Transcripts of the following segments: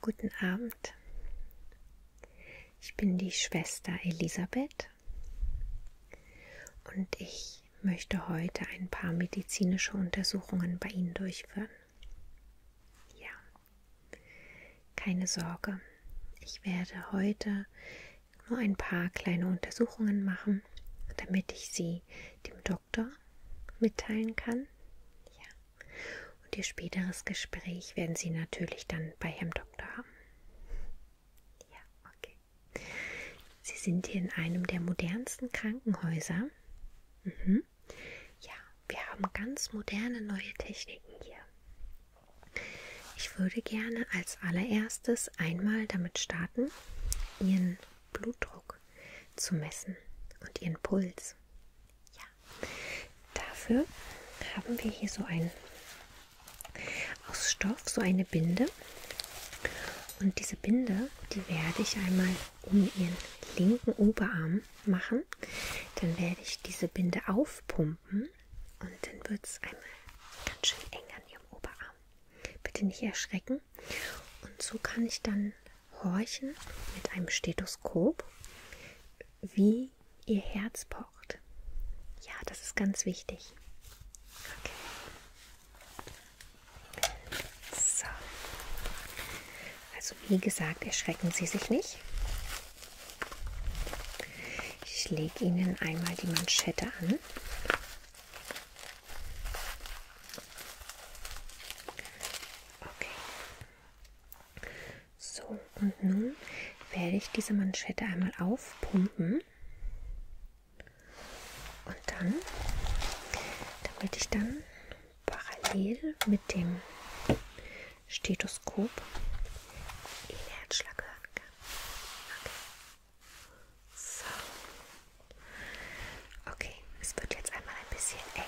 Guten Abend. Ich bin die Schwester Elisabeth und ich möchte heute ein paar medizinische Untersuchungen bei Ihnen durchführen. Ja, keine Sorge, ich werde heute nur ein paar kleine Untersuchungen machen, damit ich sie dem Doktor mitteilen kann. Ja. Und ihr späteres Gespräch werden Sie natürlich dann bei Herrn Doktor haben. Ja, okay. Sie sind hier in einem der modernsten Krankenhäuser. Mhm. Ja, wir haben ganz moderne neue Techniken hier. Ich würde gerne als allererstes einmal damit starten, ihren Blutdruck zu messen und ihren Puls. Ja, dafür haben wir hier so ein aus Stoff, so eine Binde. Und diese Binde, die werde ich einmal um ihren linken Oberarm machen. Dann werde ich diese Binde aufpumpen und dann wird es einmal ganz schön eng an ihrem Oberarm. Bitte nicht erschrecken. Und so kann ich dann horchen mit einem Stethoskop, wie ihr Herz pocht. Ja, das ist ganz wichtig. Okay. So. Also wie gesagt, erschrecken Sie sich nicht. Ich lege Ihnen einmal die Manschette an. Okay. So, und nun werde ich diese Manschette einmal aufpumpen. Und dann, damit ich dann parallel mit dem Stethoskop den Herzschlag hören kann. Okay. So. Okay, es wird jetzt einmal ein bisschen eng.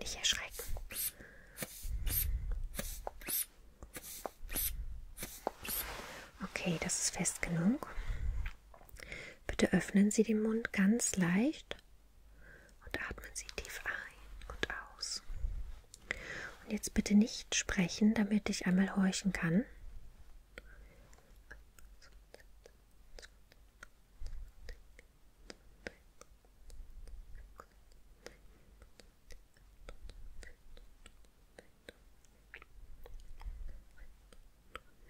Nicht erschrecken. Okay, das ist fest genug. Bitte öffnen Sie den Mund ganz leicht und atmen Sie tief ein und aus. Und jetzt bitte nicht sprechen, damit ich einmal horchen kann.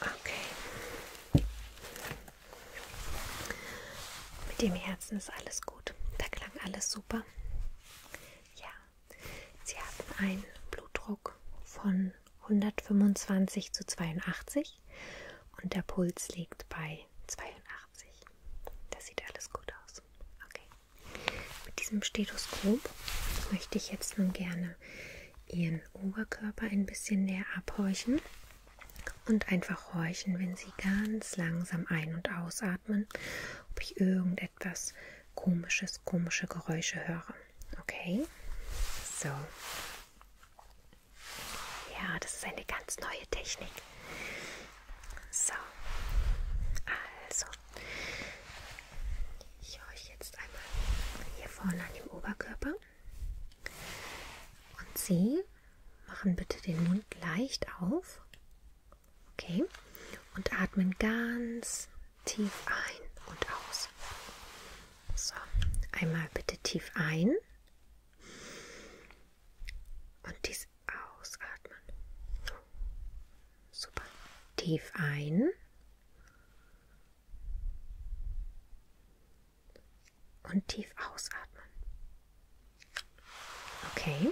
Okay. Mit dem Herzen ist alles gut. Da klang alles super. Ja, Sie hatten einen Blutdruck von 125 zu 82 und der Puls liegt bei 82. Das sieht alles gut aus. Okay. Mit diesem Stethoskop möchte ich jetzt nun gerne ihren Oberkörper ein bisschen näher abhorchen und einfach horchen, wenn sie ganz langsam ein- und ausatmen, ob ich irgendetwas komisches, komische Geräusche höre. Okay? So. Ja, das ist eine ganz neue Technik. So. Also. Ich horche jetzt einmal hier vorne an dem Oberkörper und Sie machen bitte den Mund leicht auf. Okay. Und atmen ganz tief ein und aus. So, einmal bitte tief ein und dies ausatmen. Super. Tief ein und tief ausatmen. Okay.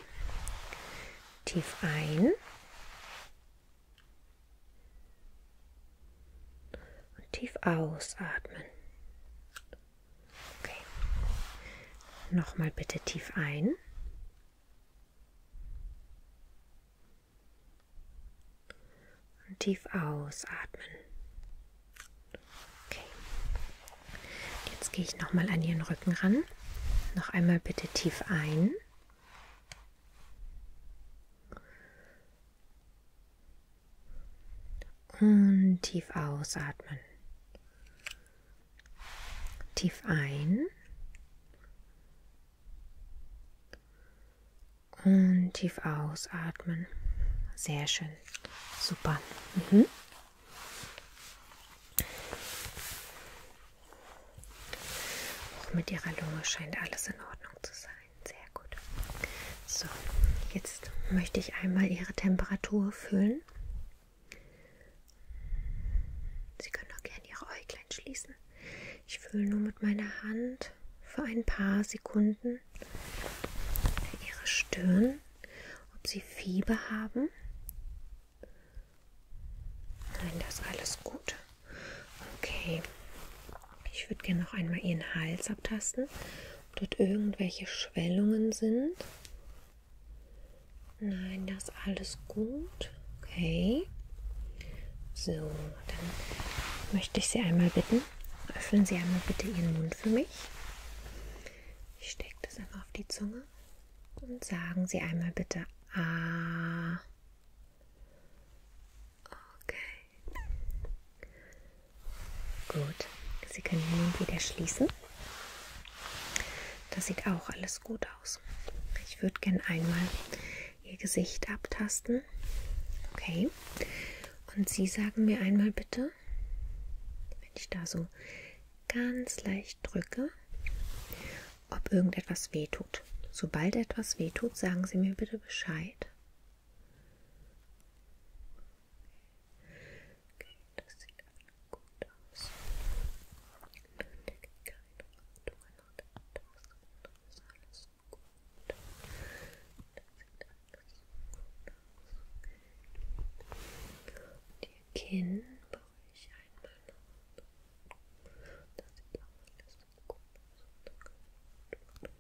Tief ein. Und tief ausatmen. Okay. Nochmal bitte tief ein. Und tief ausatmen. Okay. Jetzt gehe ich nochmal an Ihren Rücken ran. Noch einmal bitte tief ein. Und tief ausatmen. Tief ein. Und tief ausatmen. Sehr schön. Super. Mhm. Auch mit Ihrer Lunge scheint alles in Ordnung zu sein. Sehr gut. So, jetzt möchte ich einmal Ihre Temperatur fühlen. Sie können auch gerne Ihre Äuglein schließen. Ich fühle nur mit meiner Hand für ein paar Sekunden ihre Stirn, ob sie Fieber haben. Nein, das ist alles gut. Okay. Ich würde gerne noch einmal ihren Hals abtasten, ob dort irgendwelche Schwellungen sind. Nein, das ist alles gut gut. Okay. So, dann möchte ich Sie einmal bitten, öffnen Sie einmal bitte Ihren Mund für mich. Ich stecke das einfach auf die Zunge und sagen Sie einmal bitte A. Ah. Okay. Gut. Sie können den Mund wieder schließen. Das sieht auch alles gut aus. Ich würde gern einmal Ihr Gesicht abtasten. Okay. Und Sie sagen mir einmal bitte, wenn ich da so ganz leicht drücke, ob irgendetwas wehtut. Sobald etwas wehtut, sagen Sie mir bitte Bescheid. Okay, das sieht gut aus. Alles gut. Und Ihr Kinn beruhige einmal noch. Das sieht auch alles so gut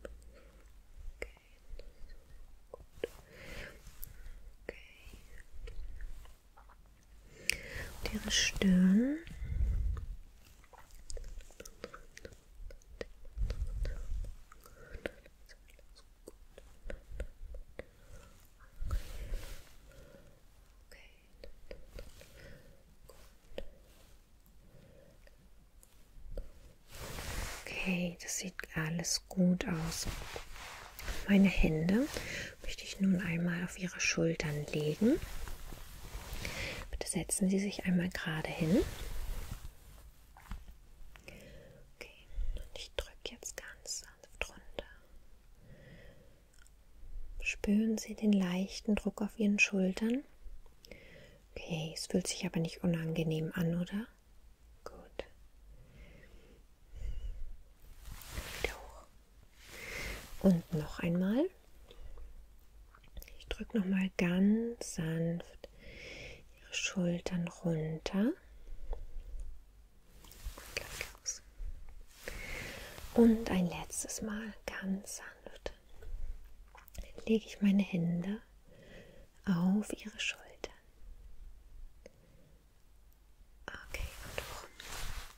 Okay, das ist so gut. Okay. Und Ihre Stirn. Okay, das sieht alles gut aus. Meine Hände möchte ich nun einmal auf Ihre Schultern legen. Bitte setzen Sie sich einmal gerade hin. Okay, und ich drücke jetzt ganz sanft runter. Spüren Sie den leichten Druck auf Ihren Schultern. Okay, es fühlt sich aber nicht unangenehm an, oder? Gut. Wieder hoch. Und noch einmal. Ich drücke nochmal ganz sanft Ihre Schultern runter. Und ein letztes Mal ganz sanft lege ich meine Hände auf Ihre Schultern. Okay, und hoch.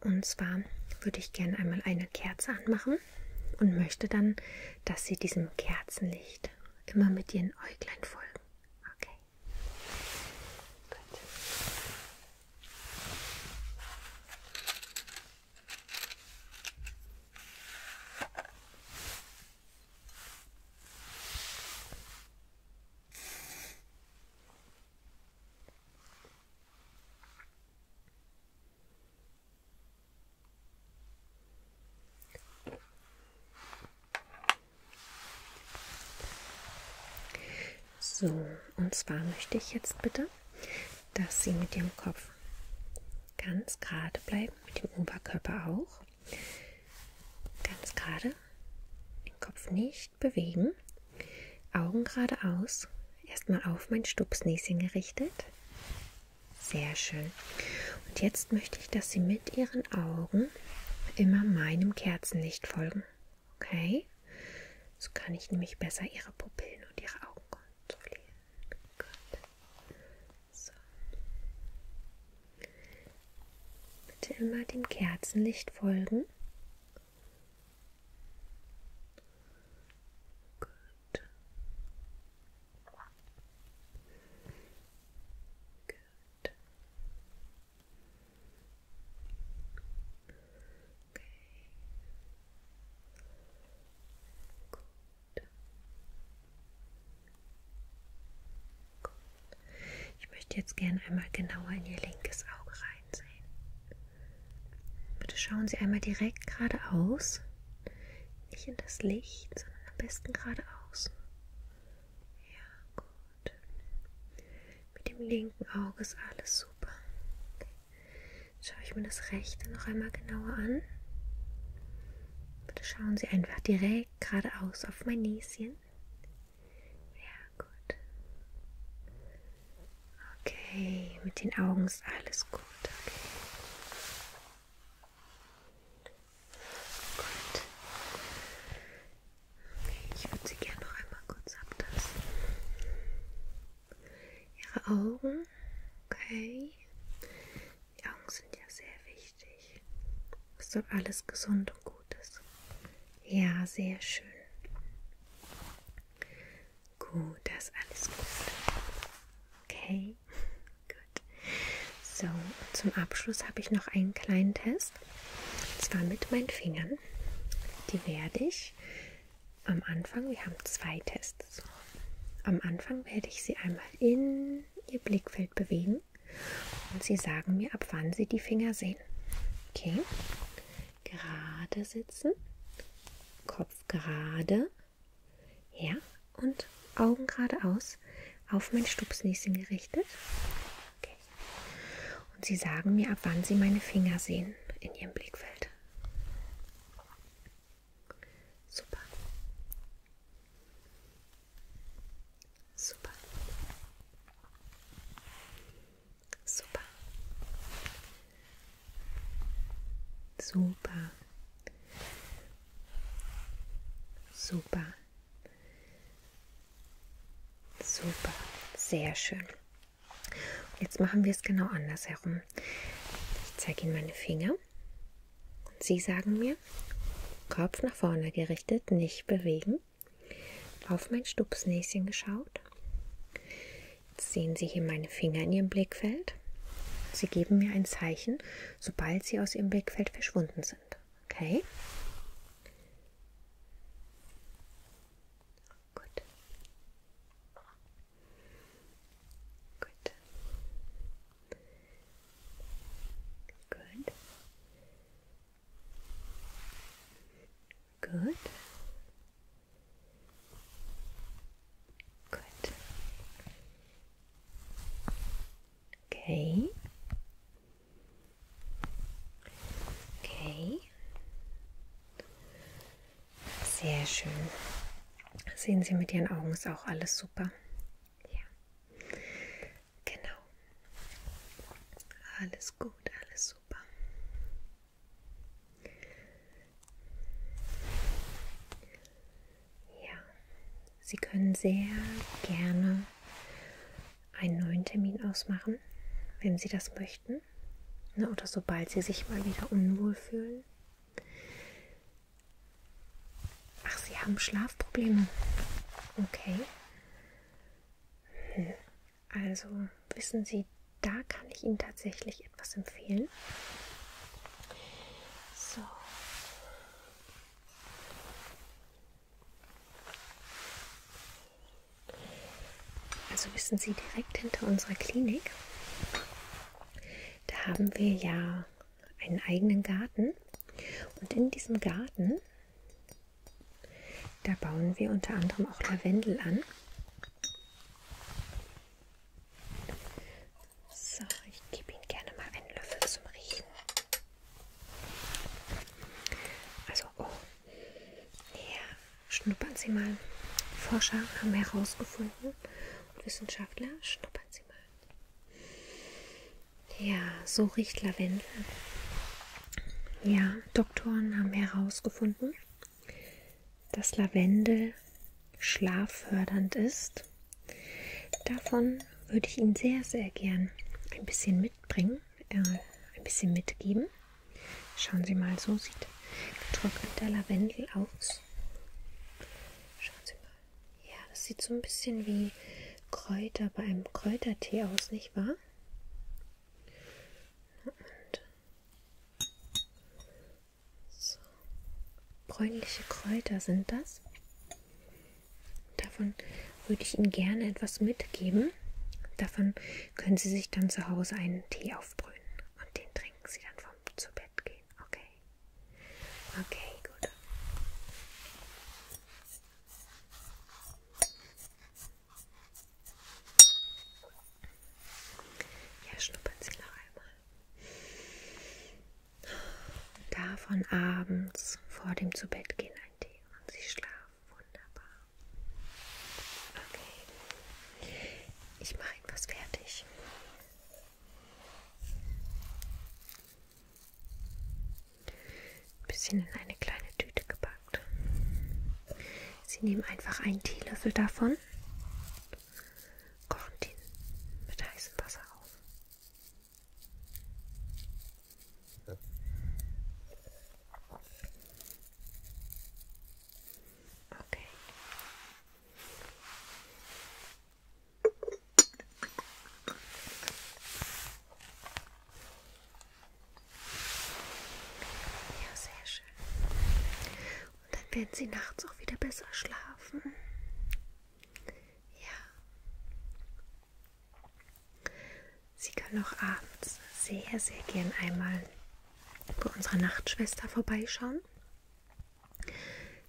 und zwar würde ich gerne einmal eine Kerze anmachen und möchte dann, dass Sie diesem Kerzenlicht immer mit Ihren Äuglein folgen. Okay. Gut. So, und zwar möchte ich jetzt bitte, dass Sie mit dem Kopf ganz gerade bleiben, mit dem Oberkörper auch. Ganz gerade, den Kopf nicht bewegen. Augen geradeaus. Erstmal auf mein Stupsnäschen gerichtet. Sehr schön. Und jetzt möchte ich, dass Sie mit Ihren Augen immer meinem Kerzenlicht folgen. Okay? So kann ich nämlich besser Ihre Pupillen und Ihre Augen kontrollieren. Gut. So. Bitte immer dem Kerzenlicht folgen. Gut. Gut. Okay. Gut. Gut. Ich möchte jetzt gerne einmal genauer in Ihr linkes Auge reinsehen. Bitte schauen Sie einmal direkt geradeaus. Nicht in das Licht, sondern am besten geradeaus. Ja, gut. Mit dem linken Auge ist alles super. Okay. Schaue ich mir das rechte noch einmal genauer an. Bitte schauen Sie einfach direkt geradeaus auf mein Näschen. Ja, gut. Okay, mit den Augen ist alles gut. Okay. Gut. Ich würde Sie gerne noch einmal kurz abtasten. Ihre Augen. Okay. Die Augen sind ja sehr wichtig. Dass dort alles gesund und gut ist. Ja, sehr schön. Gut, das ist alles gut. Okay, gut. So, zum Abschluss habe ich noch einen kleinen Test. Und zwar mit meinen Fingern. Die werde ich am Anfang, wir haben zwei Tests. Am Anfang werde ich sie einmal in ihr Blickfeld bewegen und sie sagen mir, ab wann sie die Finger sehen. Okay, gerade sitzen, Kopf gerade, ja, und Augen geradeaus auf mein Stupsnäschen gerichtet. Okay. Und Sie sagen mir, ab wann Sie meine Finger sehen in Ihrem Blickfeld. Super. Super. Super. Super. Super. Super. Sehr schön. Jetzt machen wir es genau andersherum. Ich zeige Ihnen meine Finger. Und Sie sagen mir, Kopf nach vorne gerichtet, nicht bewegen auf mein Stupsnäschen geschaut. Jetzt sehen Sie hier meine Finger in Ihrem Blickfeld. Sie geben mir ein Zeichen, sobald Sie aus Ihrem Blickfeld verschwunden sind. Okay? Gut. Gut. Gut. Gut. Gut. Okay. Okay. Sehr schön. Sehen Sie mit Ihren Augen ist auch alles super. Ja. Genau. Alles gut, alles super. Ja, Sie können sehr gerne einen neuen Termin ausmachen, wenn Sie das möchten. Ne, oder sobald Sie sich mal wieder unwohl fühlen. Ach, Sie haben Schlafprobleme. Okay. Hm. Also wissen Sie, da kann ich Ihnen tatsächlich etwas empfehlen. So. Also wissen Sie, direkt hinter unserer Klinik, da haben wir ja einen eigenen Garten. Und in diesem Garten da bauen wir unter anderem auch Lavendel an. So, ich gebe Ihnen gerne mal einen Löffel zum Riechen. Also, oh, ja, schnuppern Sie mal. Forscher haben herausgefunden und Wissenschaftler, schnuppern Sie mal. Ja, so riecht Lavendel. Ja, Doktoren haben herausgefunden, dass Lavendel schlaffördernd ist. Davon würde ich Ihnen sehr, sehr gern ein bisschen mitbringen, äh, ein bisschen mitgeben. Schauen Sie mal, so sieht getrockneter Lavendel aus. Schauen Sie mal. Ja, das sieht so ein bisschen wie Kräuter bei einem Kräutertee aus, nicht wahr? Und so. Bräunliche Kräuter sind das. Davon würde ich Ihnen gerne etwas mitgeben. Davon können Sie sich dann zu Hause einen Tee aufbrühen und den trinken Sie dann vom zu Bett gehen. Okay. Okay, gut. Ja, schnuppern Sie noch einmal. Davon abends vor dem Zubettgehen ein Tee und Sie schlafen wunderbar. Okay. Ich mache etwas fertig. Ein bisschen in eine kleine Tüte gebacken gesagt. Sie nehmen einfach einen Teelöffel davon, kochen den mit heißem Wasser auf. Okay. Ja, sehr schön. Und dann werden Sie nachts auch wieder besser schlafen. Ja. Sie können auch abends sehr, sehr gern einmal bei unserer Nachtschwester vorbeischauen.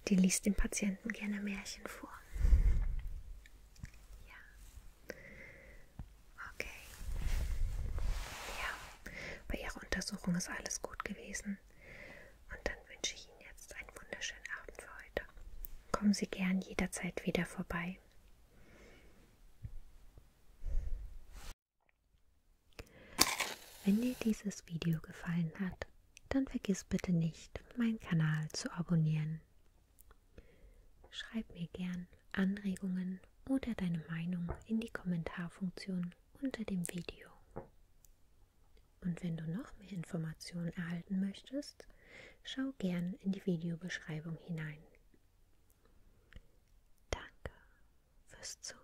Die liest dem Patienten gerne Märchen vor. Ja. Okay. Ja, bei Ihrer Untersuchung ist alles gut gewesen. Und dann wünsche ich Ihnen jetzt einen wunderschönen Abend für heute. Kommen Sie gern jederzeit wieder vorbei. Wenn dir dieses Video gefallen hat, dann vergiss bitte nicht, meinen Kanal zu abonnieren. Schreib mir gern Anregungen, oder deine Meinung in die Kommentarfunktion unter dem Video. Und wenn du noch mehr Informationen erhalten möchtest, schau gern in die Videobeschreibung hinein. Danke fürs Zusehen.